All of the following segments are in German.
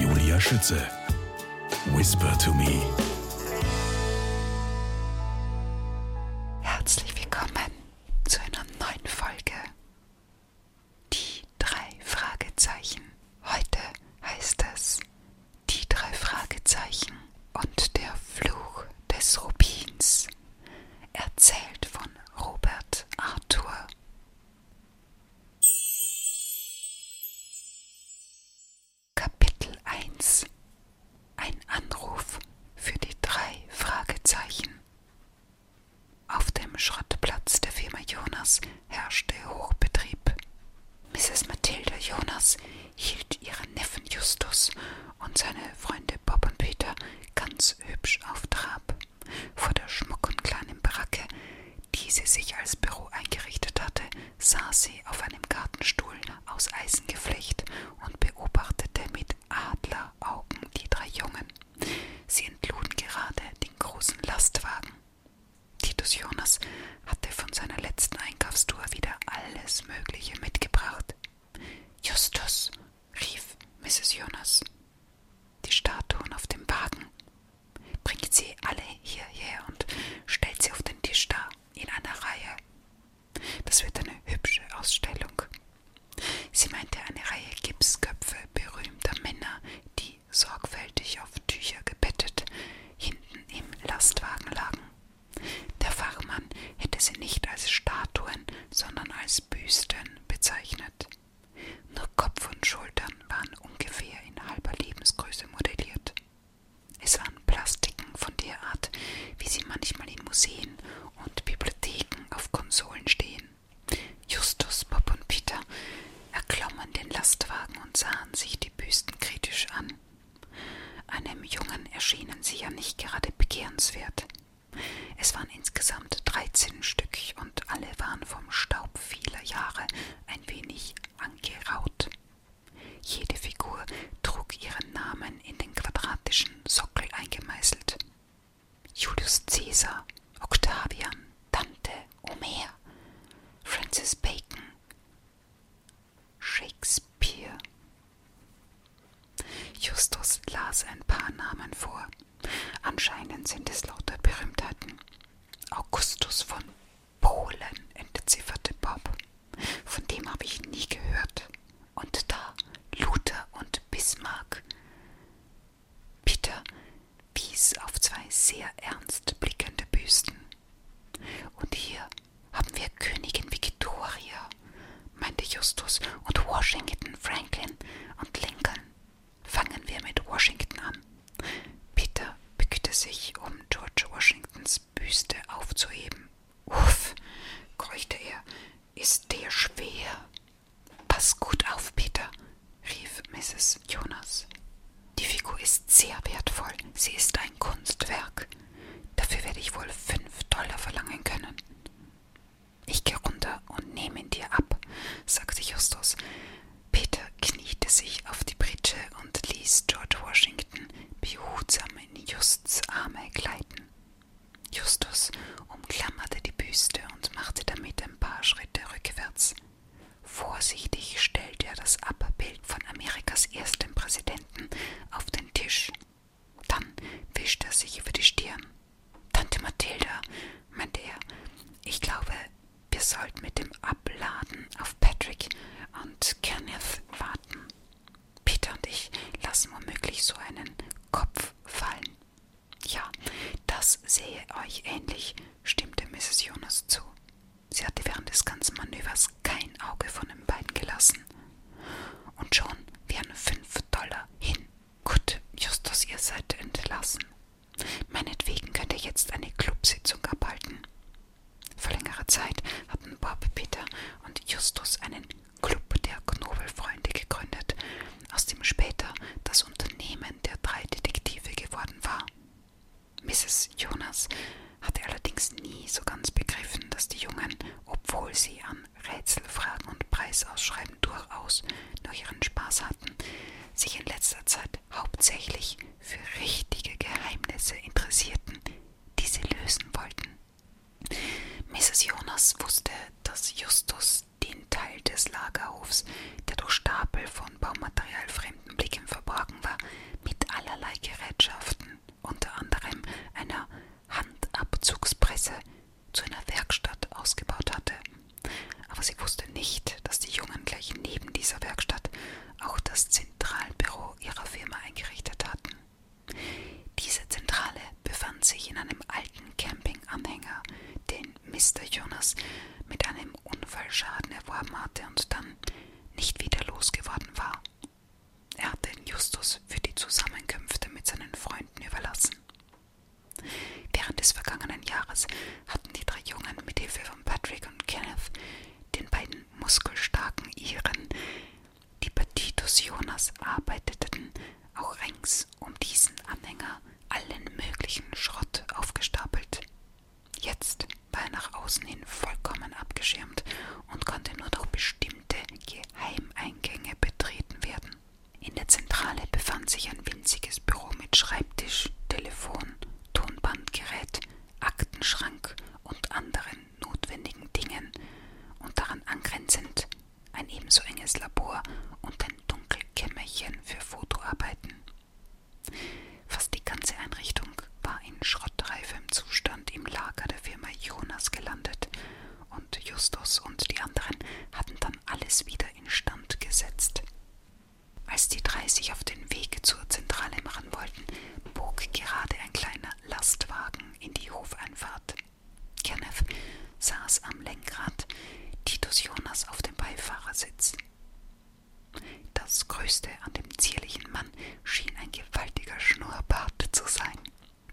Julia Schütze. Whisper to me. Herzlich willkommen zu einer neuen Folge. Die drei Fragezeichen. Heute heißt es Die drei Fragezeichen und der Fluch des Rubins. Erzählt von Robert Arthur. Kapitel 1 Ein Anruf für die drei Fragezeichen. Auf dem Schrottplatz der Firma Jonas herrschte Hochbetrieb. Mrs. Mathilde Jonas hielt ihren Neffen Justus und seine Freunde Bob und Peter ganz hübsch auf Trab vor der schmucken kleinen Baracke, die sie sich als Büro eingerichtet hatte, saß sie auf einem Gartenstuhl aus Eisengeflecht und beobachtete mit Adleraugen die drei Jungen. Sie entluden gerade den großen Lastwagen. Titus Jonas hatte von seiner letzten Einkaufstour wieder alles Mögliche mitgebracht. Justus, rief Mrs. Jonas. Die Statuen auf dem Wagen Bringt sie alle hierher und stellt sie auf den Tisch dar, in einer Reihe. Das wird eine hübsche Ausstellung. Sie meinte eine Reihe Gipsköpfe berühmter Männer, die sorgfältig auf Tücher gebettet hinten im Lastwagen lagen. Der Fachmann hätte sie nicht als Statuen, sondern als Büsten bezeichnet. Nur Kopf und Schultern waren ungefähr in halber Lebensgröße modelliert. Es waren Plastiken von der Art, wie sie manchmal in Museen und Bibliotheken auf Konsolen stehen. Justus, Bob und Peter erklommen den Lastwagen und sahen sich die Büsten kritisch an. Einem Jungen erschienen sie ja nicht gerade begehrenswert. Es waren insgesamt dreizehn Stück und alle waren vom Staub vieler Jahre ein wenig angeraut. Jede Figur trug ihren Namen in den quadratischen Sockel eingemeißelt. Julius Caesar, Octavian, Dante, Homer, Francis Bacon, Shakespeare. Justus las ein paar Namen vor. Anscheinend sind es lauter Berühmtheiten. Augustus von Polen entzifferte Bob. Von dem habe ich nie gehört. Und da Luther und Bismarck. Peter wies auf zwei sehr ernst blickende Büsten. Und hier haben wir Königin Victoria, meinte Justus, und Washington, Franklin und Lincoln. Fangen wir mit Washington an. Peter bückte sich, um George Washingtons Büste aufzuheben. Uff, keuchte er, ist der schwer. Pass gut auf, Peter, rief Mrs. Jonas. Die Figur ist sehr wertvoll, sie ist ein Kunstwerk. Dafür werde ich wohl fünf Dollar verlangen können. Ich gehe runter und nehme ihn dir ab, sagte Justus. Peter kniete sich auf die Pritsche und ließ George Washington behutsam in Justs Arme gleiten. Justus umklammerte die Büste und machte damit ein paar Schritte rückwärts. Vorsichtig stellte er das Abbild von Amerikas ersten Präsidenten auf den Tisch. Dann wischte er sich über die Stirn. Tante Mathilda, meinte er, ich glaube, wir sollten mit dem Abladen auf Patrick und Kenneth warten. Peter und ich lassen womöglich so einen Kopf fallen. Ja, das sehe euch ähnlich, stimmte Mrs. Jonas zu. Sie hatte während des ganzen Manövers kein Auge von den beiden gelassen. Und schon wären fünf Dollar hin. Gut, Justus, ihr seid entlassen. Meinetwegen könnt ihr jetzt eine Clubsitzung abhalten. Vor längerer Zeit hatten Bob, Peter und Justus einen Club der Knobelfreunde gegründet, aus dem später das Unternehmen der drei Detektive geworden war. Mrs. Jonas hatte allerdings nie so ganz begriffen, dass die Jungen, obwohl sie an Rätselfragen und Preisausschreiben durchaus noch ihren Spaß hatten, sich in letzter Zeit dort hauptsächlich für richtige Geheimnisse interessierten, die sie lösen wollten. Mrs. Jonas wusste, dass Justus den Teil des Lagerhofs, der durch Stapel von Baumaterial fremden Blicken verborgen war, mit allerlei Gerätschaften, unter anderem einer Handabzugspresse, zu einer Werkstatt ausgebaut hatte, aber sie wusste nicht, dass die Jungen gleich neben dieser Werkstatt auch das Zentralbüro ihrer Firma eingerichtet hatten. Diese Zentrale befand sich in einem alten Campinganhänger, den Mr. Jonas mit einem Unfallschaden erworben hatte und dann nicht wieder losgeworden war. Er hatte den Justus für die Zusammenkünfte mit seinen Freunden überlassen. Während des vergangenen Jahres hatten die drei Jungen mit Hilfe von Patrick Patrick und Kenneth, den beiden muskelstarken Iren, die bei Titus Jonas arbeiteten, auch rings um diesen Anhänger allen möglichen Schrott aufgestapelt. Jetzt war er nach außen hin vollkommen abgeschirmt und konnte nur durch bestimmte Geheimeingänge betreten werden. In der Zentrale befand sich ein winziges Büro mit Schreibtisch, Telefon, Tonbandgerät, Aktenschrank und anderen notwendigen Dingen und daran angrenzend ein ebenso enges Labor und ein Dunkelkämmerchen für Fotoarbeiten. Fast die ganze Einrichtung war in schrottreifem Zustand im Lager der Firma Jonas gelandet und Justus und die anderen hatten dann alles wieder instand gesetzt. Als die drei sich auf den Weg zur Zentrale machen wollten, bog gerade ein kleiner Lastwagen in die Hofeinfahrt. Kenneth saß am Lenkrad, Titus Jonas auf dem Beifahrersitz. Das Größte an dem zierlichen Mann schien ein gewaltiger Schnurrbart zu sein.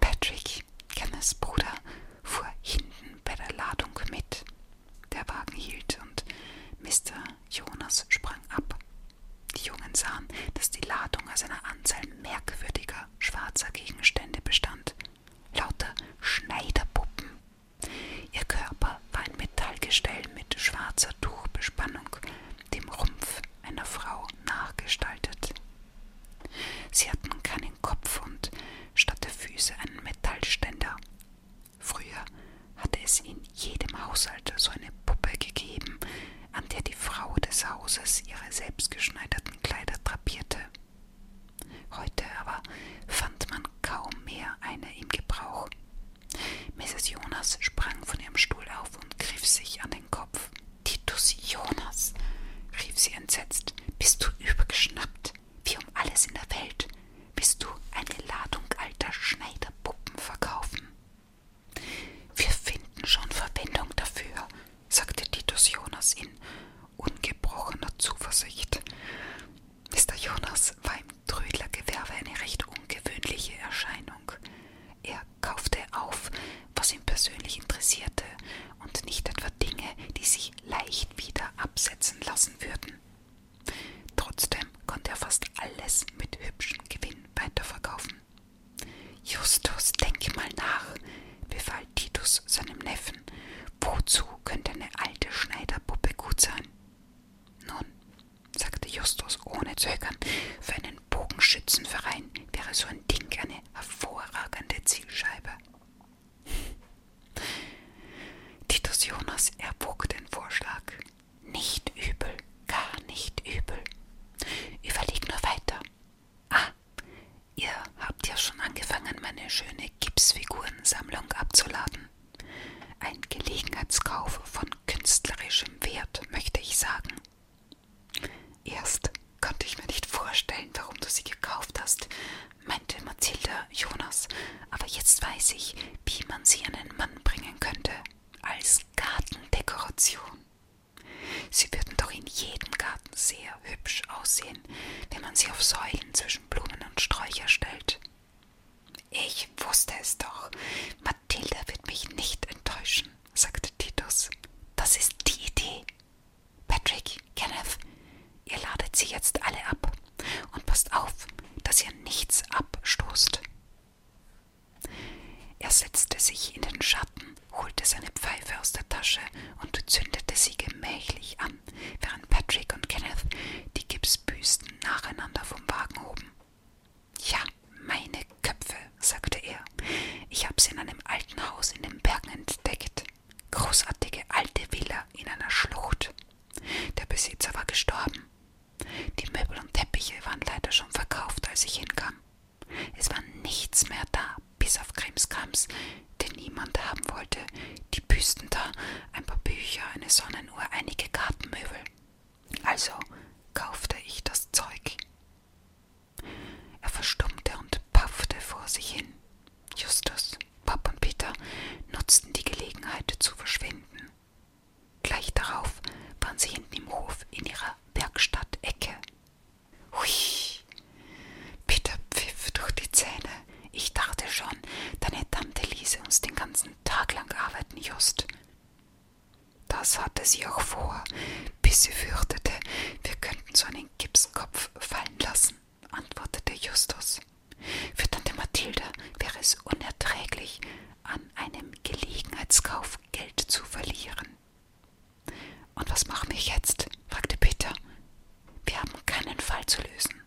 Patrick, Kenneths Bruder, fuhr hinten bei der Ladung mit. Der Wagen hielt und Mr. Jonas sprang ab. Die Jungen sahen, dass die Ladung aus einer Anzahl merkwürdiger schwarzer Gegenstände bestand. Lauter Schneiderpuppen. Ihr Körper war ein Metallgestell mit schwarzer Tuchbespannung, dem Rumpf einer Frau nachgestaltet. Sie hatten keinen Kopf und statt der Füße einen Metallständer. Früher hatte es in jedem Haushalt so eine Puppe gegeben, an der die Frau des Hauses ihre selbstgeschneiderten Kleider drapierte. Heute aber fand man kaum mehr eine im Gebrauch. Mrs. Jonas sprang von ihrem Stuhl auf und griff sich an den Kopf. Titus Jonas, rief sie entsetzt, bist du übergeschnappt, wie um alles in der Welt. Willst du eine Ladung alter Schneiderpuppen verkaufen? Wir finden schon Verwendung dafür, sagte Titus Jonas in ungebrochener Zuversicht. Mr. Jonas war im Trödlergewerbe eine recht ungewöhnliche Erscheinung. Er kaufte auf, was ihn persönlich interessierte, und nicht etwa Dinge, die sich leicht wieder absetzen lassen würden. Trotzdem konnte er fast alles mit hübschem Gewinn weiterverkaufen. Justus, denke mal nach, befahl Titus seinem Neffen. Wozu könnte eine alte Schneiderpuppe gut sein? Nun, sagte Justus ohne Zögern, für einen Bogenschützenverein wäre so ein Ding eine hervorragende Zielscheibe. Titus Jonas erwog den Vorschlag. Nicht übel, gar nicht übel. Überleg nur weiter. Ah, ihr habt ja schon angefangen, meine schöne Gipsfigurensammlung abzuladen. Ein Gelegenheitskauf von künstlerischem Wert, möchte ich sagen. Erst konnte ich mir nicht vorstellen, warum du sie gekauft hast, meinte Mathilda Jonas, aber jetzt weiß ich, wie man sie an den Mann bringen könnte, als Gartendekoration. Sie würden doch in jedem Garten sehr hübsch aussehen, wenn man sie auf Säulen zwischen Blumen und Sträucher stellt. Ich wusste es doch. Mathilda wird mich nicht enttäuschen, sagte Titus. Das ist die Idee. Patrick, Kenneth, ihr ladet sie jetzt alle ab und passt auf, dass ihr nichts abstoßt. Er setzte sich in den Schatten, holte seine Pfeife aus der Tasche und zündete sie gemächlich an, während Patrick und Kenneth die Gipsbüsten nacheinander vom Wagen hoben. Ja, meine Köpfe, sagte er. Ich habe sie in einem alten Haus in den Bergen entdeckt. Großartige alte Villa in einer Schlucht. Der Besitzer war gestorben. Die Möbel und Teppiche waren leider schon verkauft, als ich hinkam. Es war nichts mehr da, bis auf Krimskrams, den niemand haben wollte, die Büsten da, ein paar Bücher, eine Sonnenuhr, einige Gartenmöbel. Also kaufte ich das Zeug. Er verstummte und paffte vor sich hin. Justus, Pop und Peter nutzten die Gelegenheit zu verschwinden. Gleich darauf waren sie hinten im Hof in ihrer Werkstattecke. Hui! Peter pfiff durch die Zähne. Ich dachte schon, deine Tante ließe uns den ganzen Tag lang arbeiten, Just. Das hatte sie auch vor, bis sie fürchtete, wir könnten so einen Gipskopf fallen lassen, antwortete Justus. Für Tante Mathilda wäre es unerträglich, an einem Gelegenheitskauf Geld zu verlieren. Und was machen wir jetzt? fragte Peter. Wir haben keinen Fall zu lösen.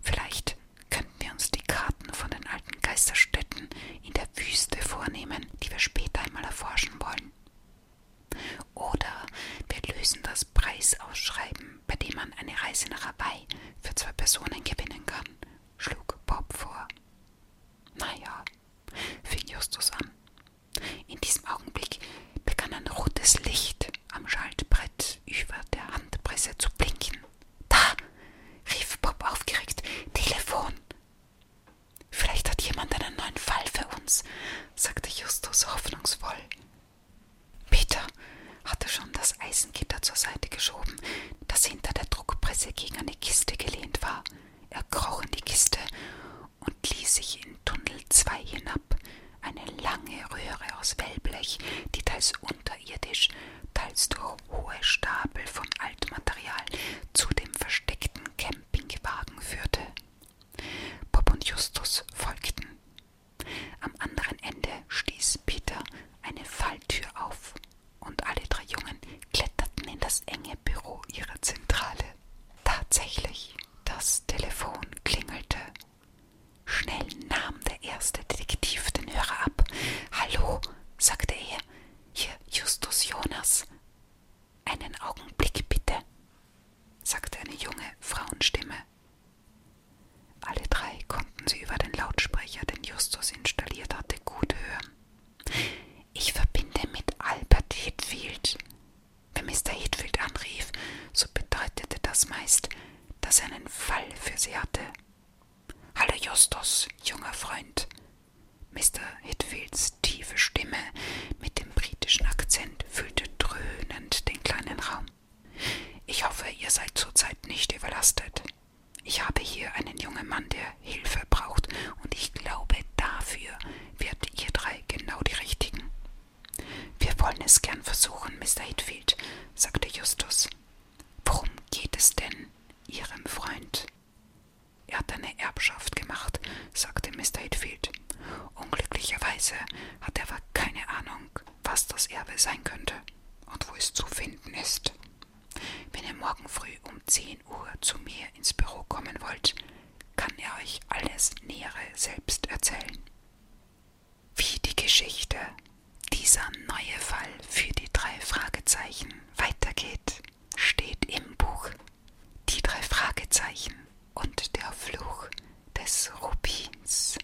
Vielleicht könnten wir uns die Karten von den alten Geisterstätten in der Wüste vornehmen, die wir später einmal erforschen wollen. Oder wir lösen das Preisausschreiben, bei dem man eine Reise nach Hawaii für zwei Personen gewinnen kann schlug Bob vor. Naja, fing Justus an. In diesem Augenblick begann ein rotes Licht am Schaltbrett über der Handpresse zu blinken. Da! rief Bob aufgeregt. Telefon! Vielleicht hat jemand einen neuen Fall für uns, sagte Justus hoffnungsvoll. Peter, hatte schon das Eisengitter zur Seite geschoben, das hinter der Druckpresse gegen eine Kiste gelehnt war. Er kroch in die Kiste und ließ sich in Tunnel 2 hinab. Eine lange Röhre aus Wellblech, die teils unterirdisch, teils durch hohe Stapel von Altmaterial zu dem versteckten Campingwagen führte. Bob und Justus folgten. Am anderen Ende stieß Peter eine Falltür auf und alle drei Jungen kletterten in das enge Büro ihrer Zentrale. Tatsächlich, das Telefon klingelte. Schnell nahm der erste Detektiv den Hörer ab. Hallo, sagte er, hier Justus Jonas. Einen Augenblick bitte, sagte eine junge Frauenstimme. Alle drei konnten sie über den Lautsprecher, den Justus installiert hatte, gut hören. Ich verbinde mit Albert Hitfield. Wenn Mr. Hitfield anrief, so bedeutete das meist, dass er einen Fall für sie hatte. Hallo Justus, junger Freund. Mr. Hitfields tiefe Stimme mit dem britischen Akzent füllte dröhnend den kleinen Raum. Ich hoffe, ihr seid zurzeit nicht überlastet. Ich habe hier einen jungen Mann, der Hilfe braucht, und ich glaube, dafür werdet ihr drei genau die richtigen. Wir wollen es gern versuchen, Mr. Hitfield, sagte Justus. Worum geht es denn Ihrem Freund? Er hat eine Erbschaft gemacht, sagte Mr. Hitfield. Unglücklicherweise hat er aber keine Ahnung, was das Erbe sein könnte und wo es zu finden ist. Wenn ihr morgen früh um 10 Uhr zu mir ins Büro kommen wollt, kann er euch alles Nähere selbst erzählen. Wie die Geschichte, dieser neue Fall für die drei Fragezeichen weitergeht, steht im Buch Die drei Fragezeichen und der Fluch des Rubins.